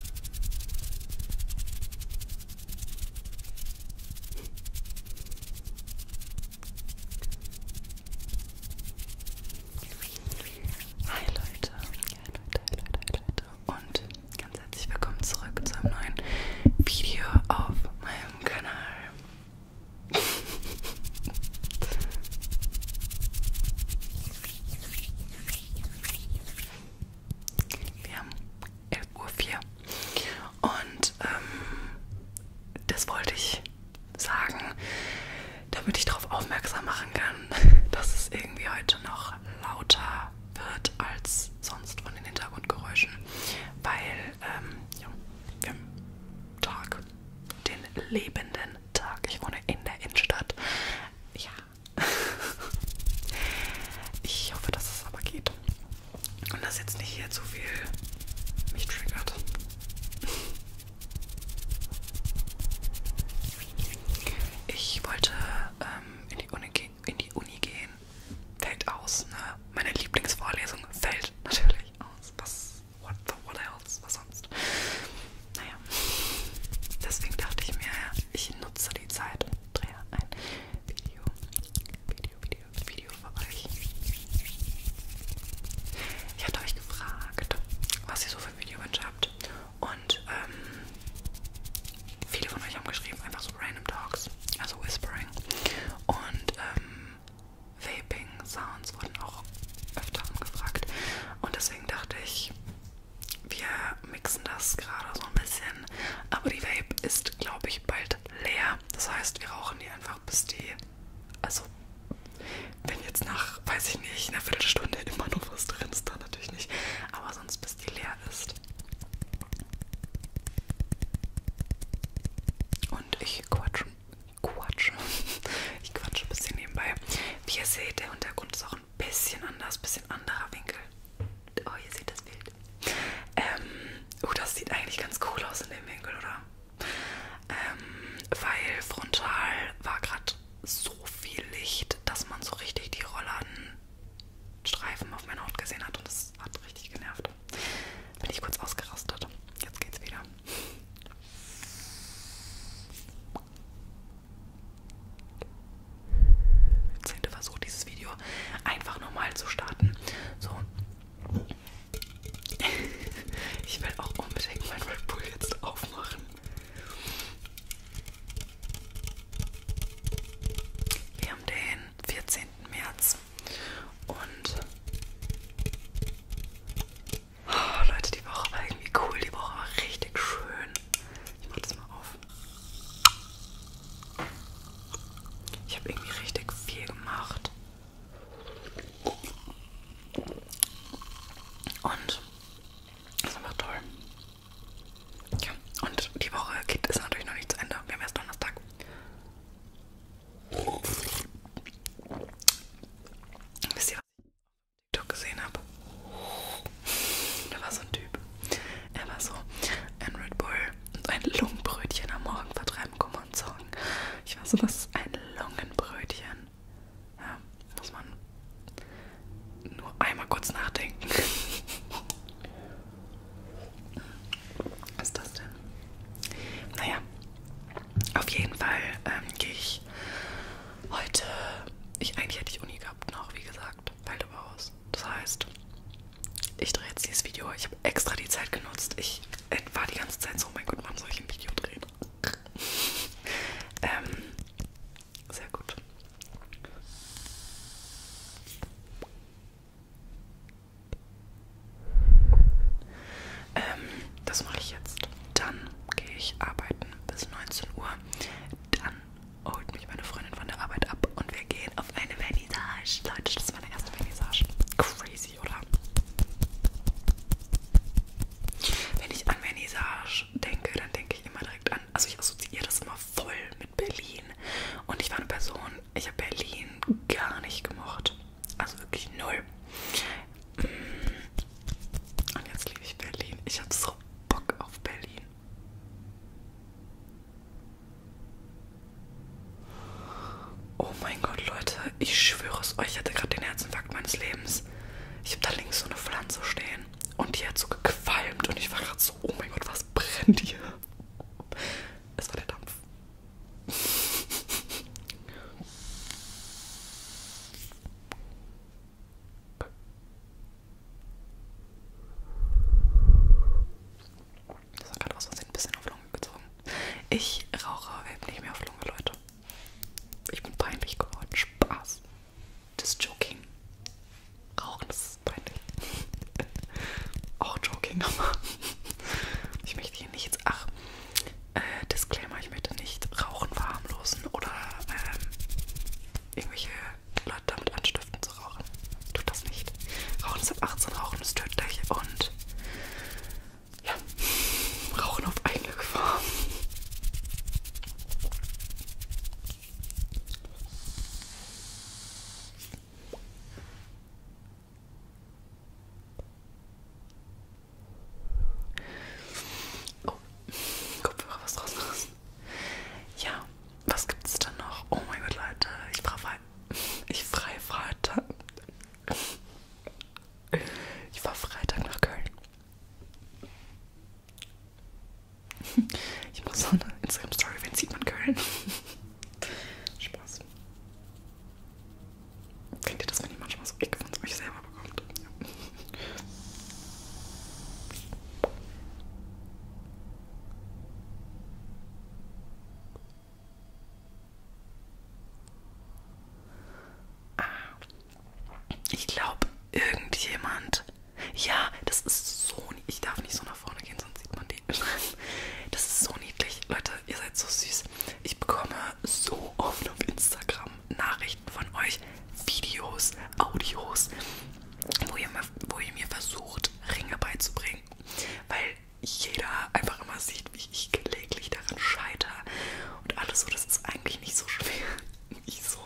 Hi Leute, hi Leute, hi Leute, hi Leute und ganz herzlich willkommen zurück zu einem neuen Video auf meinem Kanal. Wir haben 11.04 Uhr und ähm, das wollte ich sagen, damit ich darauf aufmerksam machen kann, dass es irgendwie heute noch lauter wird als sonst von den Hintergrundgeräuschen, weil ähm, ja, wir haben Tag, den lebenden Tag. Ich wohne in der Innenstadt. Ja, ich hoffe, dass es aber geht. Und dass jetzt nicht hier zu viel mich triggert. Ich wollte ähm, in, die Uni in die Uni gehen. Fällt aus, ne? Meine Lieblingsvorlesung fällt natürlich aus. Was? What, the, what else? Was sonst? Naja, deswegen dachte ich mir, ich nutze die Zeit und drehe ein Video, Video, Video, Video für euch. Ich hatte euch gefragt, was ihr so für Videowünsche habt und ähm, viele von euch haben geschrieben, einfach so Random Talks, also Whispering und ähm, Vaping Sounds wurden auch öfter angefragt und deswegen dachte ich, wir mixen das gerade so ein bisschen, aber die Vape ist, glaube ich, bald leer. Das heißt, wir rauchen die einfach bis die. Also, wenn jetzt nach, weiß ich nicht, einer Viertelstunde immer noch was drin ist, dann natürlich nicht. Aber sonst bis die leer ist. Und ich quatsche. Quatsche. Ich quatsche ein bisschen nebenbei. Wie ihr seht, der Hintergrund ist auch bisschen anders, bisschen anderer Winkel. Oh, ihr seht das Bild. Ähm, oh, das sieht eigentlich ganz cool aus in dem Winkel, oder? Ähm, weil frontal war gerade so viel Licht, dass man so richtig die Rollladenstreifen auf meiner Haut gesehen hat und das hat richtig genervt. Bin ich kurz ausgerastet. Jetzt geht's wieder zehnte Versuch, dieses Video einfach normal zu starten. So. Ich will auch unbedingt mein Red Bull jetzt aufmachen. Wir haben den 14. März und Oh, Leute, die Woche war irgendwie cool. Die Woche war richtig schön. Ich mach das mal auf. Ich habe irgendwie richtig viel gemacht. Und das ist einfach toll. Ja, und die Woche geht ist natürlich noch nicht zu Ende. Wir haben erst Donnerstag. Wisst ihr was? TikTok gesehen habe. Da war so ein Typ. Er war so ein Red Bull und ein Lungenbrötchen am Morgen vertreiben, komm und zocken. Ich war so, was ist ein Lungenbrötchen? Ja, muss man nur einmal kurz nachdenken. Was ist das denn? Naja, auf jeden Fall ähm, gehe ich heute. Ich eigentlich hätte ich Uni gehabt noch, wie gesagt, fällt aber aus. Das heißt, ich drehe jetzt dieses Video. Ich habe extra die Zeit genutzt. Ich äh, war die ganze Zeit so, oh mein Gott, wann soll ich ein Video drehen? ähm, sehr gut. Ähm, das mache ich jetzt. Dann gehe ich arbeiten bis 19 Uhr. Dann holt mich meine Freundin von der Arbeit ab und wir gehen auf eine Vernissage. Leute, das ist meine erste Vernissage. Crazy, oder? Wenn ich an Vernissage denke, dann denke ich immer direkt an, also ich assoziiere das immer voll mit Berlin. Und ich war eine Person, ich habe Berlin gar nicht gemocht. Also wirklich null. Mm. Und jetzt liebe ich Berlin. Ich habe so Bock auf Berlin. Oh mein Gott, Leute, ich schwöre es euch, ich hatte gerade den Herzinfarkt meines Lebens. Ich habe da links so eine Pflanze stehen und die hat so gequalmt und ich war gerade so, oh mein Gott, was brennt hier? Es war der Dampf. Das war gerade aus Versehen ein bisschen auf Lunge gezogen. Ich rauche überhaupt nicht mehr auf Lunge, Leute. Ich bin peinlich geworden. Spaß. Das ist Joking. Rauchen, das ist peinlich. Auch Joking, aber ich möchte hier nicht jetzt, ach, äh, Disclaimer, ich möchte nicht Rauchen verharmlosen oder ähm, irgendwelche Leute damit anstiften zu rauchen. Tut das nicht. Rauchen ist ab 18, Rauchen ist tödlich und ja, Rauchen auf eigene Gefahr. Oh, Kopfhörer, was draus machen. Ja, was gibt's denn noch? Oh mein Gott, Leute, ich frei. Ich frei Freitag. Ich war Freitag nach Köln. Ich mache so eine Instagram-Story, wenn sieht man Köln. Spaß. Kennt ihr das, wenn ihr manchmal so Blick von euch selber bekommt? Ja. Ah. Ich glaube, irgendjemand. Ja, das ist so. Ich darf nicht so nach vorne gehen, sonst sieht man den. Das ist so niedlich. Leute, ihr seid so süß. Ich bekomme so oft auf Instagram Nachrichten von euch, Videos, Audios, wo ihr, mir, wo ihr mir versucht, Ringe beizubringen. Weil jeder einfach immer sieht, wie ich gelegentlich daran scheitere. Und alles so, das ist eigentlich nicht so schwer. Nicht so.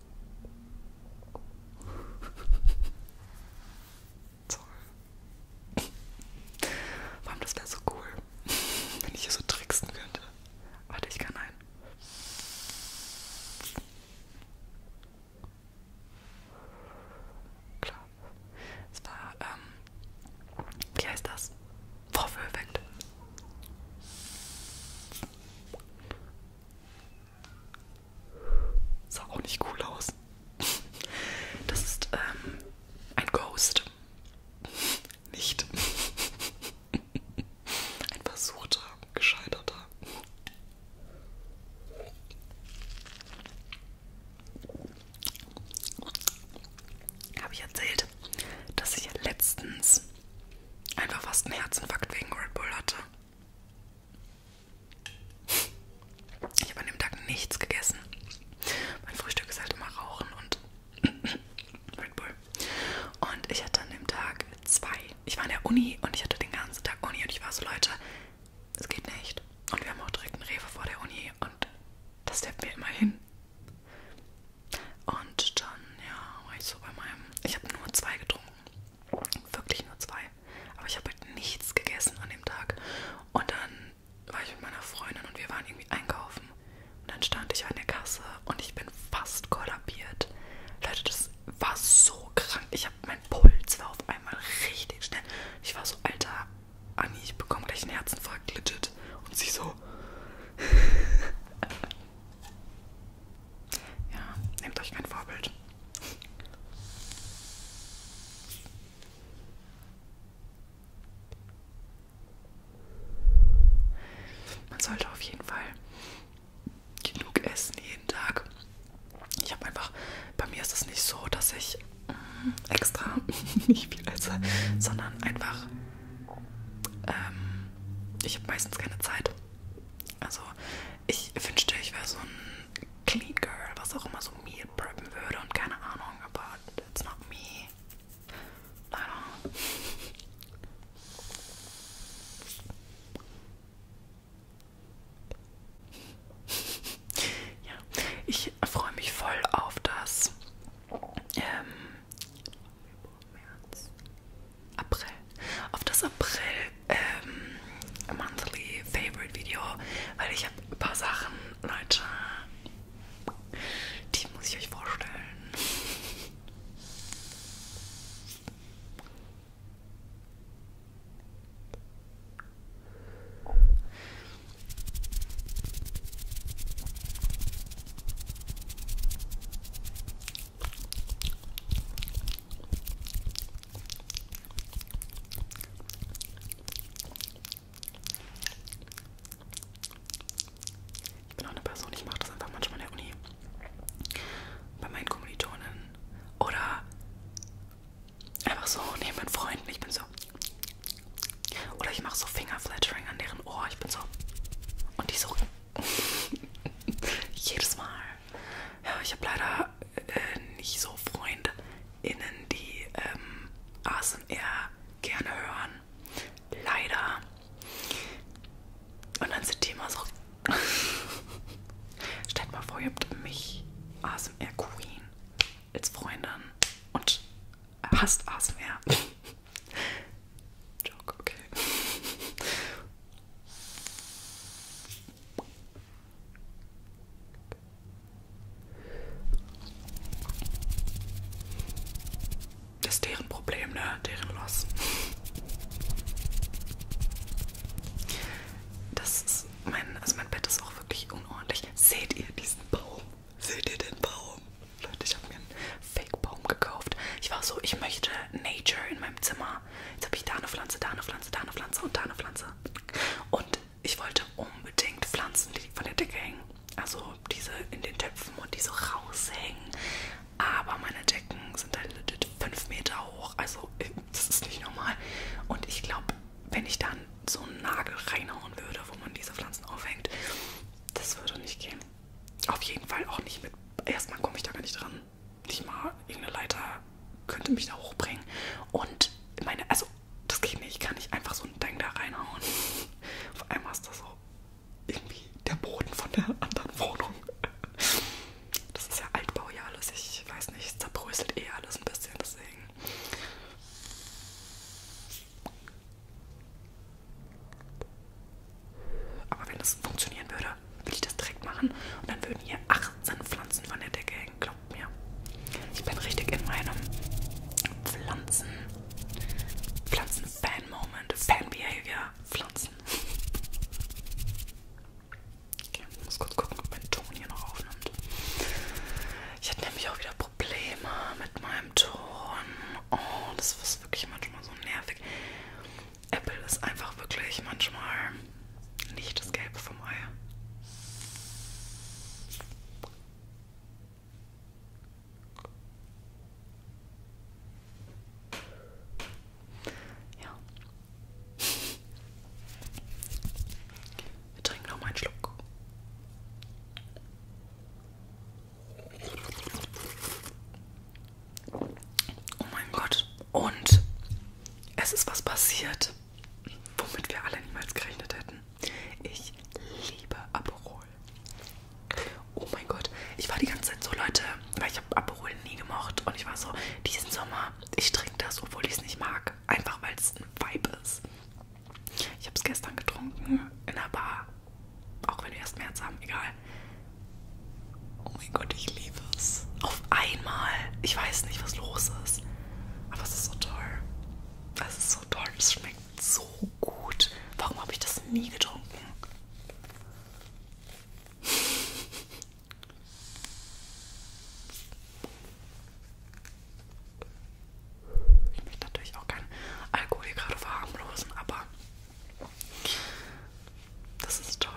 Toll. Vor allem, das wäre so cool, wenn ich hier so tricksen könnte. Warte, ich kann ein. Klar. Es war, ähm, wie heißt das? Vorführeffekt. Sah auch nicht cool aus. Das ist ähm, ein Ghost. Nicht. Ein versuchter, gescheiterter. Habe ich erzählt, dass ich letztens einfach fast einen Herzinfarkt wegen Red Bull hatte. Ich habe an dem Tag nichts gegessen. Mein Frühstück ist halt immer Rauchen und Red Bull. Und ich hatte an dem Tag zwei. Ich war in der Uni und ich hatte den ganzen Tag Uni und ich war so, Leute, es geht nicht. Und wir haben auch direkt einen Rewe vor der Uni und das steppt mir immer hin. Und dann, ja, war ich so bei meinem. Ich habe nur zwei getrunken. Wirklich nur zwei. Aber ich habe halt nichts gegessen an dem Tag. Und dann war ich mit meiner Freundin und wir waren irgendwie einkaufen. Und dann stand ich an der Kasse und ich bin fast kollabiert. Leute, das war so krank. Ich habe mein Puls war auf einmal richtig schnell. Ich war so, Alter, Anni, ich bekomme gleich einen Herzinfarkt, legit. Und sie so. Ja, nehmt euch kein Vorbild. Man sollte auf jeden Fall genug essen jeden Tag. Ich habe einfach, bei mir ist es nicht so, dass ich mm, extra nicht viel esse, sondern einfach, ähm, ich habe meistens keine Zeit. Also ich wünschte, ich wäre so ein Clean Girl, was auch immer so Meal preppen würde und keine Ahnung, aber it's not me. Leider. ja, ich freue mich voll auf das ähm, März, April. Auf das April ähm, Monthly Favorite Video, weil ich habe ein paar Sachen, Leute, die muss ich euch vorstellen. Ich bin auch eine Person, ich mache das einfach manchmal in der Uni. Bei meinen Kommilitonen. Oder einfach so neben meinen Freunden. Ich bin so. Oder ich mache so Fingerflattering an deren Ohr. Ich bin so. Und die so Jedes Mal. Ja, ich habe leider äh, nicht so FreundInnen, die ähm, ASMR gerne hören. Leider. Und dann sind die immer so. Stellt mal vor, ihr habt mich, ASMR Queen, als Freundin und hasst ASMR. Joke, okay. Das ist deren Problem, ne? Deren Loss. Das ist mein, also mein Bett ist auch wirklich unordentlich. Seht ihr diesen Baum? Seht ihr den Baum? Leute, ich habe mir einen Fake-Baum gekauft. Ich war so, ich möchte Nature in meinem Zimmer. Jetzt habe ich da eine Pflanze, da eine Pflanze, da eine Pflanze und da eine Pflanze. Und ich wollte unbedingt Pflanzen, die von der Decke hängen. Also diese in den Töpfen und die so raushängen. Aber meine Decken sind halt 5 Meter hoch. Also äh, das ist nicht normal. Und ich glaube, wenn ich dann so einen Nagel reinhauen würde, wo man diese Pflanzen aufhängt, das würde nicht gehen. Auf jeden Fall auch nicht mit. Erstmal komme ich da gar nicht dran. Nicht mal irgendeine Leiter könnte mich da hochbringen. Und meine, also das geht nicht. Ich kann nicht einfach so ein Ding da reinhauen. Auf einmal ist das so irgendwie der Boden von der anderen Wohnung. Das ist ja Altbau ja alles. Ich weiß nicht, es zerbröselt eh alles ein bisschen, deswegen. Aber wenn das funktionieren würde, würde ich das direkt machen. Und dann würden hier 18 Pflanzen von der Decke hängen, glaubt mir. Ich bin richtig in meinem Pflanzen. Pflanzen-Fan-Moment. Fan-Behavior. Pflanzen. Okay, ich muss kurz gucken, ob mein Ton hier noch aufnimmt. Ich hätte nämlich auch wieder Probleme mit meinem Ton. Oh, das ist wirklich manchmal so nervig. Apple ist einfach wirklich manchmal nicht das Gelbe vom Ei. Ja. Wir trinken noch mal einen Schluck. Oh mein Gott. Und es ist was passiert, womit wir alle niemals gerechnet hätten. Ich liebe Aperol. Oh mein Gott. Ich war die ganze Zeit so, Leute, weil ich habe Aperol nie gemocht. Und ich war so, diesen Sommer, ich trinke das, obwohl ich es nicht mag. Einfach, weil es ein Vibe ist. Ich habe es gestern getrunken in der Bar. Auch wenn wir erst März haben, egal. Oh mein Gott, ich liebe es. Auf einmal. Ich weiß nicht, was los ist. Aber es ist so toll. Es ist so toll. Es schmeckt so gut. Warum habe ich das nie getrunken? Ich möchte natürlich auch keinen Alkohol hier gerade verharmlosen, aber das ist toll.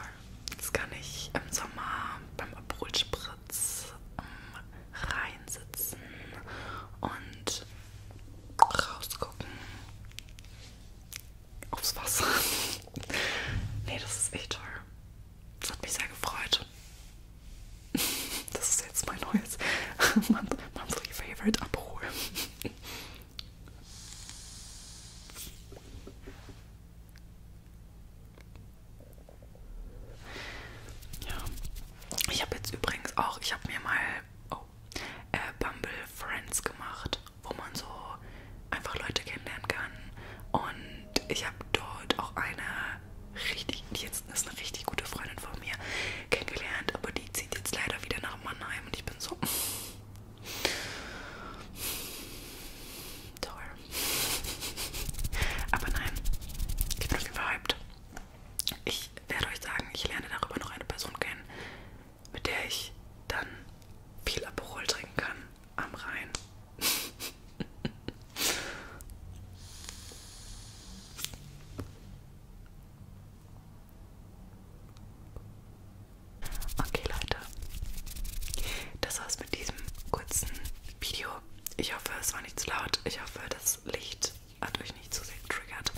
Das kann ich im Sommer beim Aperol-Spritz ähm, reinsitzen und rausgucken aufs Wasser. nee, das ist echt toll. Das hat mich sehr gefreut. Gott. Das ist jetzt mein neues monthly favorite Abhol. Ja. Ich habe jetzt übrigens auch, ich habe mir mal oh, äh, Bumble Friends gemacht, wo man so einfach Leute kennenlernen kann. Und ich habe dort auch eine richtig, jetzt ist eine richtig gute Freundin von mir kennengelernt, aber die zieht jetzt leider wieder nach Mannheim und ich bin so toll. Aber nein, ich bin überhyped. Ich werde euch sagen, ich lerne darüber noch eine Person kennen, mit der ich dann viel Aperol trinken kann am Rhein. Okay, Leute, das war's mit diesem kurzen Video. Ich hoffe, es war nicht zu laut. Ich hoffe, das Licht hat euch nicht zu sehr getriggert.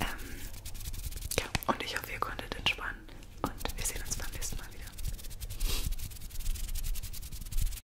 Ähm, ja, und ich hoffe, ihr konntet entspannen. Und wir sehen uns beim nächsten Mal wieder.